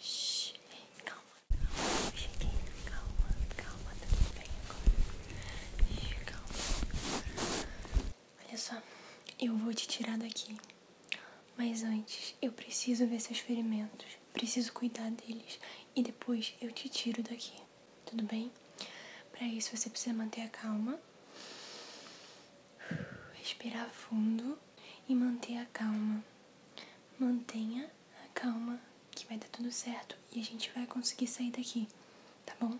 Shhh, calma, calma, cheguei, calma, calma, tudo bem agora. Calma. Olha só, eu vou te tirar daqui. Mas antes, eu preciso ver seus ferimentos. Preciso cuidar deles. E depois eu te tiro daqui. Tudo bem? Para isso você precisa manter a calma. Respirar fundo e manter a calma. Mantenha a calma, que vai dar tudo certo e a gente vai conseguir sair daqui, tá bom?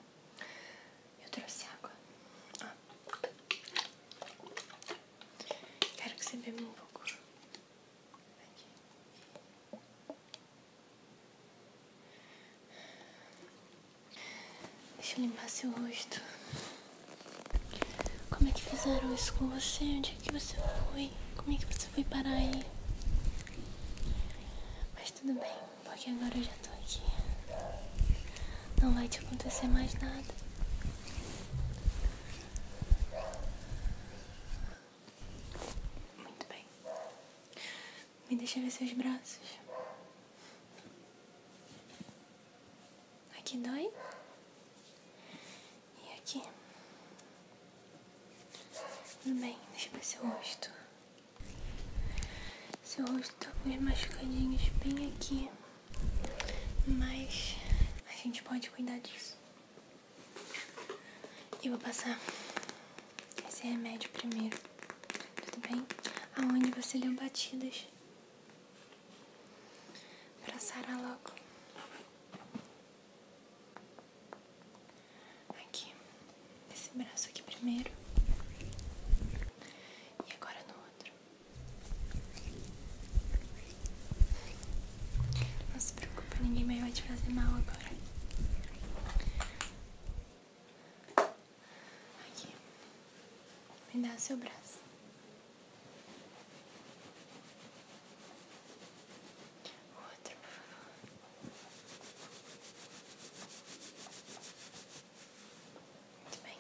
Eu trouxe água. Ah. Quero que você beba um pouco. Aqui. Deixa eu limpar seu rosto. Como é que fizeram isso com você? Onde é que você foi? Como é que você foi parar aí? Mas tudo bem, porque agora eu já tô aqui. Não vai te acontecer mais nada. Muito bem. Me deixa ver seus braços. Aqui dói. E aqui. Tudo bem, deixa eu ver seu rosto. Seu rosto tá com uns machucadinhos bem aqui. Mas a gente pode cuidar disso. e vou passar esse remédio primeiro, tudo bem? Aonde você leu batidas? abraçar sarar logo. Aqui, esse braço aqui primeiro. E agora no outro. Não se preocupa, ninguém vai te fazer mal agora. Aqui, me dá o seu braço. O outro, por favor. Muito bem.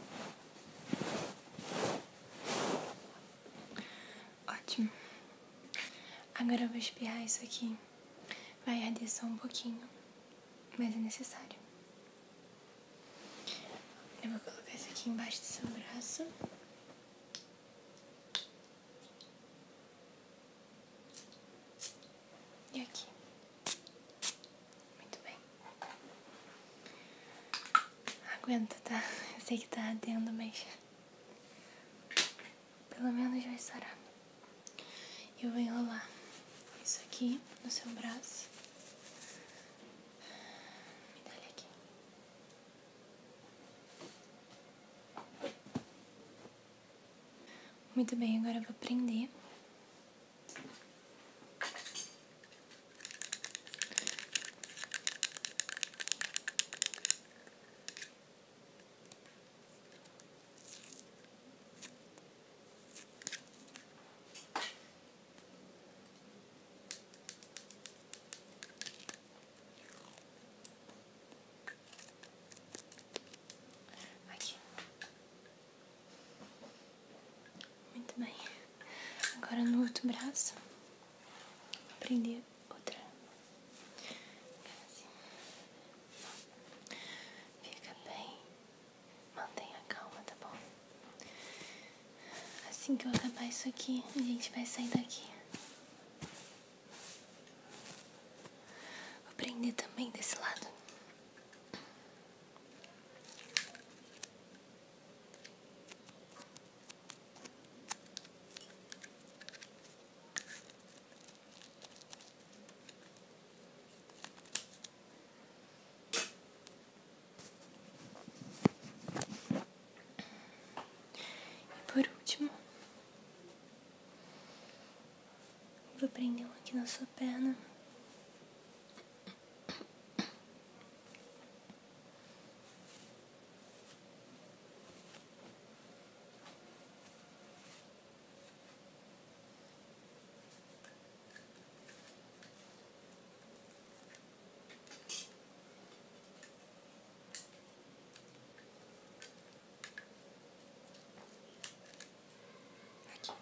Ótimo. Agora eu vou espirrar isso aqui. Vai arder só um pouquinho, mas é necessário. Eu vou colocar isso aqui embaixo do seu braço. E aqui. Muito bem. Aguenta, tá? Eu sei que tá ardendo, mas... Pelo menos vai sarar. Eu vou enrolar isso aqui no seu braço. Me dá aqui. Muito bem, agora vou prender. Aqui. Muito bem. Agora no outro braço, vou prender outra. Fica bem. Mantenha calma, tá bom? Assim que eu acabar isso aqui, a gente vai sair daqui. Vou prender também desse lado. E por último, vou prender um aqui na sua perna. Aqui.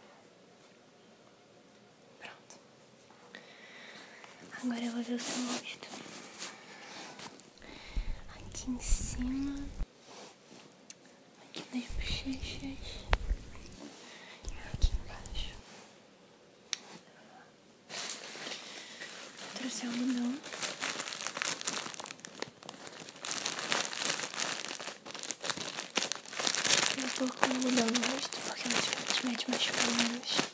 Pronto. Agora eu vou ver o seu rosto. Aqui em cima. Aqui nas bochechas. E aqui embaixo. Trouxe algodão. Eu vou com algodão no rosto porque meus filhos metem mais pelinhos.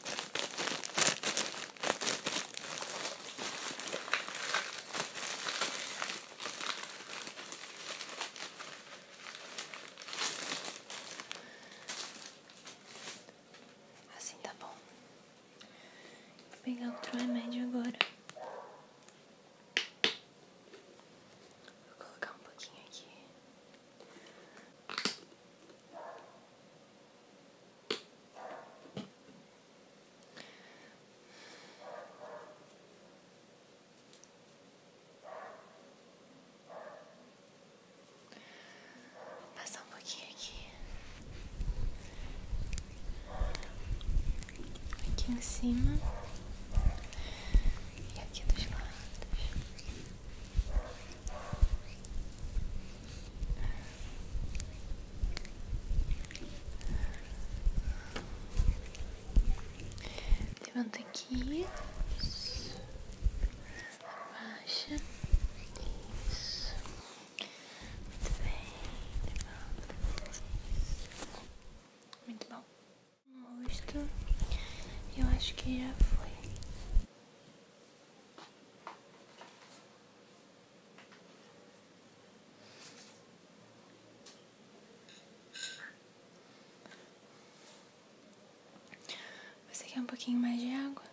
Assim tá bom. Vou pegar outro remédio agora. Vou colocar um pouquinho aqui. Vou passar um pouquinho aqui, aqui em cima e aqui dos lados. Levanta aqui baixa. Muito bem. Muito bom. O Eu acho que já foi. Você quer um pouquinho mais de água?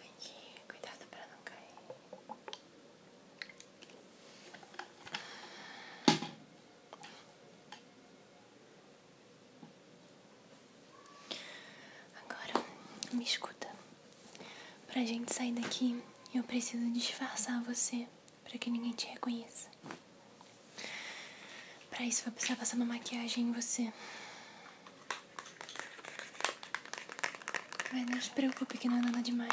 Aqui, cuidado para não cair. Agora, me escuta. Pra gente sair daqui, eu preciso disfarçar você para que ninguém te reconheça. Pra isso, vou precisar passar uma maquiagem em você. Mas não se preocupe que não é nada demais.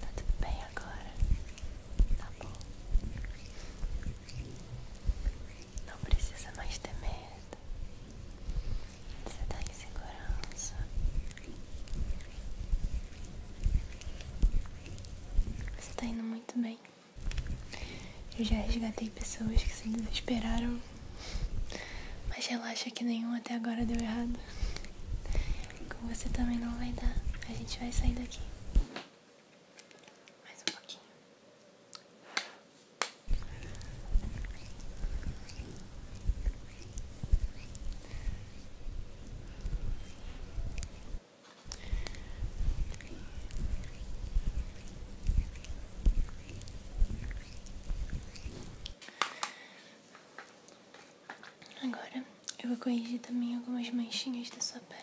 Tá tudo bem agora? Tá bom. Não precisa mais ter medo. Você tá em segurança. Você tá indo muito bem. Eu já resgatei pessoas que se desesperaram, mas relaxa que nenhum até agora deu errado. Com você também não vai dar. A gente vai sair daqui. Mais um pouquinho. Agora eu vou corrigir também algumas manchinhas da sua pele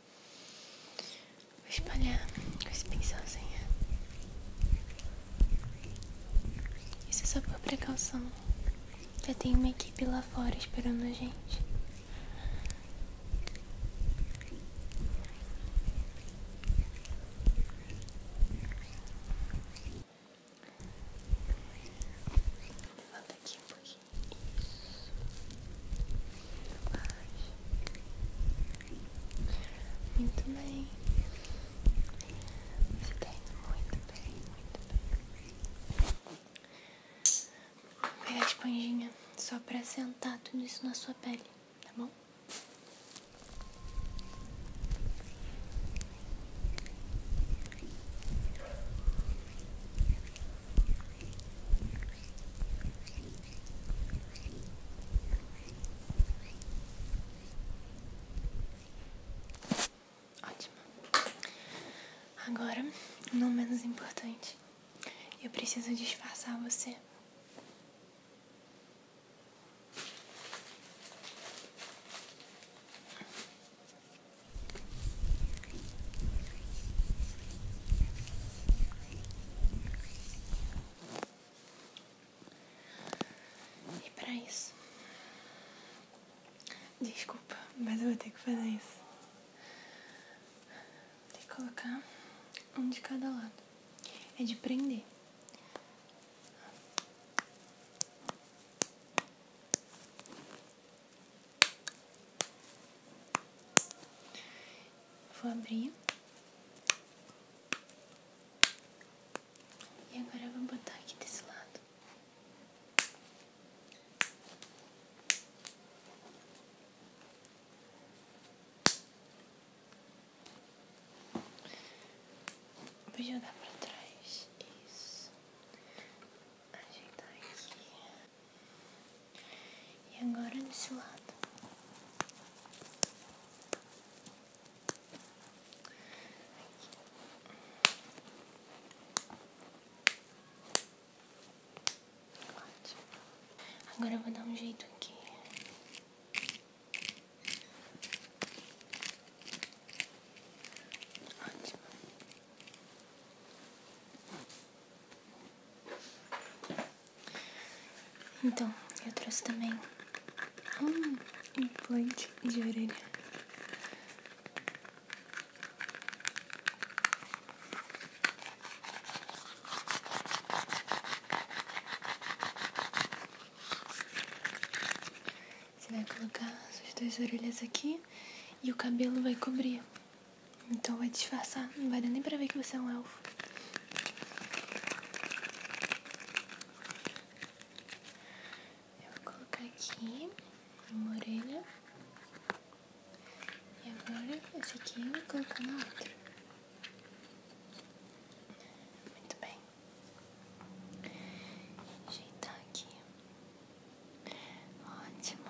Vou espalhar com esse pincelzinho. Isso é só por precaução. Já tem uma equipe lá fora esperando a gente. Levanta aqui um pouquinho. Isso. Tá muito bem. muito bem, muito bem. Vou esponjinha só pra sentar tudo isso na sua pele, tá bom? Agora, não menos importante, eu preciso disfarçar você. E é para isso, desculpa, mas eu vou ter que fazer isso. Tem que colocar um de cada lado. É de prender. Vou abrir. E agora vou botar aqui desse lado. Vou jogar pra trás. Isso. Ajeitar aqui. E agora desse lado. Ótimo. Agora vou dar um jeito aqui. Ótimo. Então, eu trouxe também um implante de orelha. Você vai colocar suas duas orelhas aqui e o cabelo vai cobrir. Então vai disfarçar, não vai dar nem pra ver que você é um elfo. Eu vou colocar aqui uma orelha. E agora esse aqui eu vou colocar na outra. Muito bem. Ajeitar aqui. Ótimo.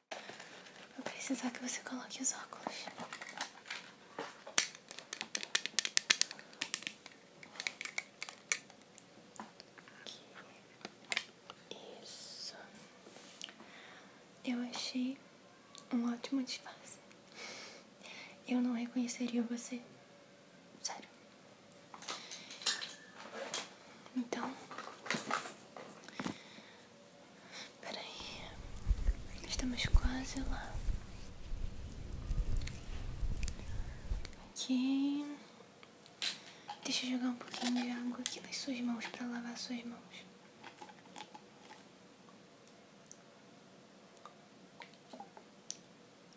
Vou precisar que você coloque os óculos. Isso. Eu achei um ótimo disfarce. Eu não reconheceria você. Sério. Então, Peraí, estamos quase lá. Aqui. Deixa eu jogar um pouquinho de água aqui nas suas mãos para lavar suas mãos.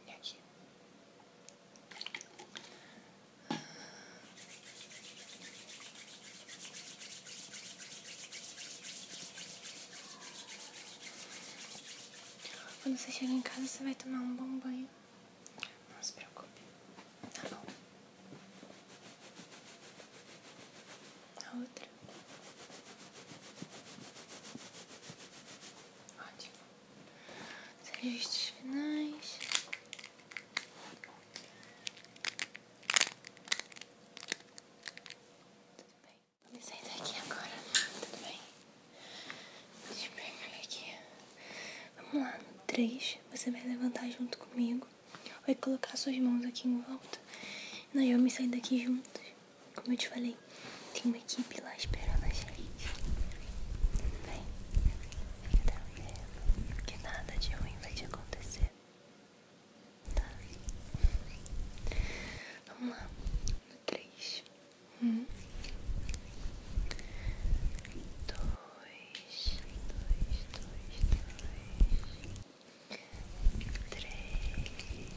E aqui. Quando você chegar em casa, você vai tomar um bom banho. Não se preocupe. Tá bom. A outra. Ótimo. Os registros finais. Tudo bem? Me senta aqui agora. Tudo bem? Deixa eu pegar aqui. Vamos lá, no 3, você vai levantar junto comigo. Vai colocar suas mãos aqui em volta. E nós vamos sair daqui juntos. Como eu te falei, tem uma equipe lá esperando a gente. Tudo bem? Fica tranquilo. Que nada de ruim vai te acontecer. Tá. Vamos lá. No três. Um. Dois. Dois, dois, dois. Três.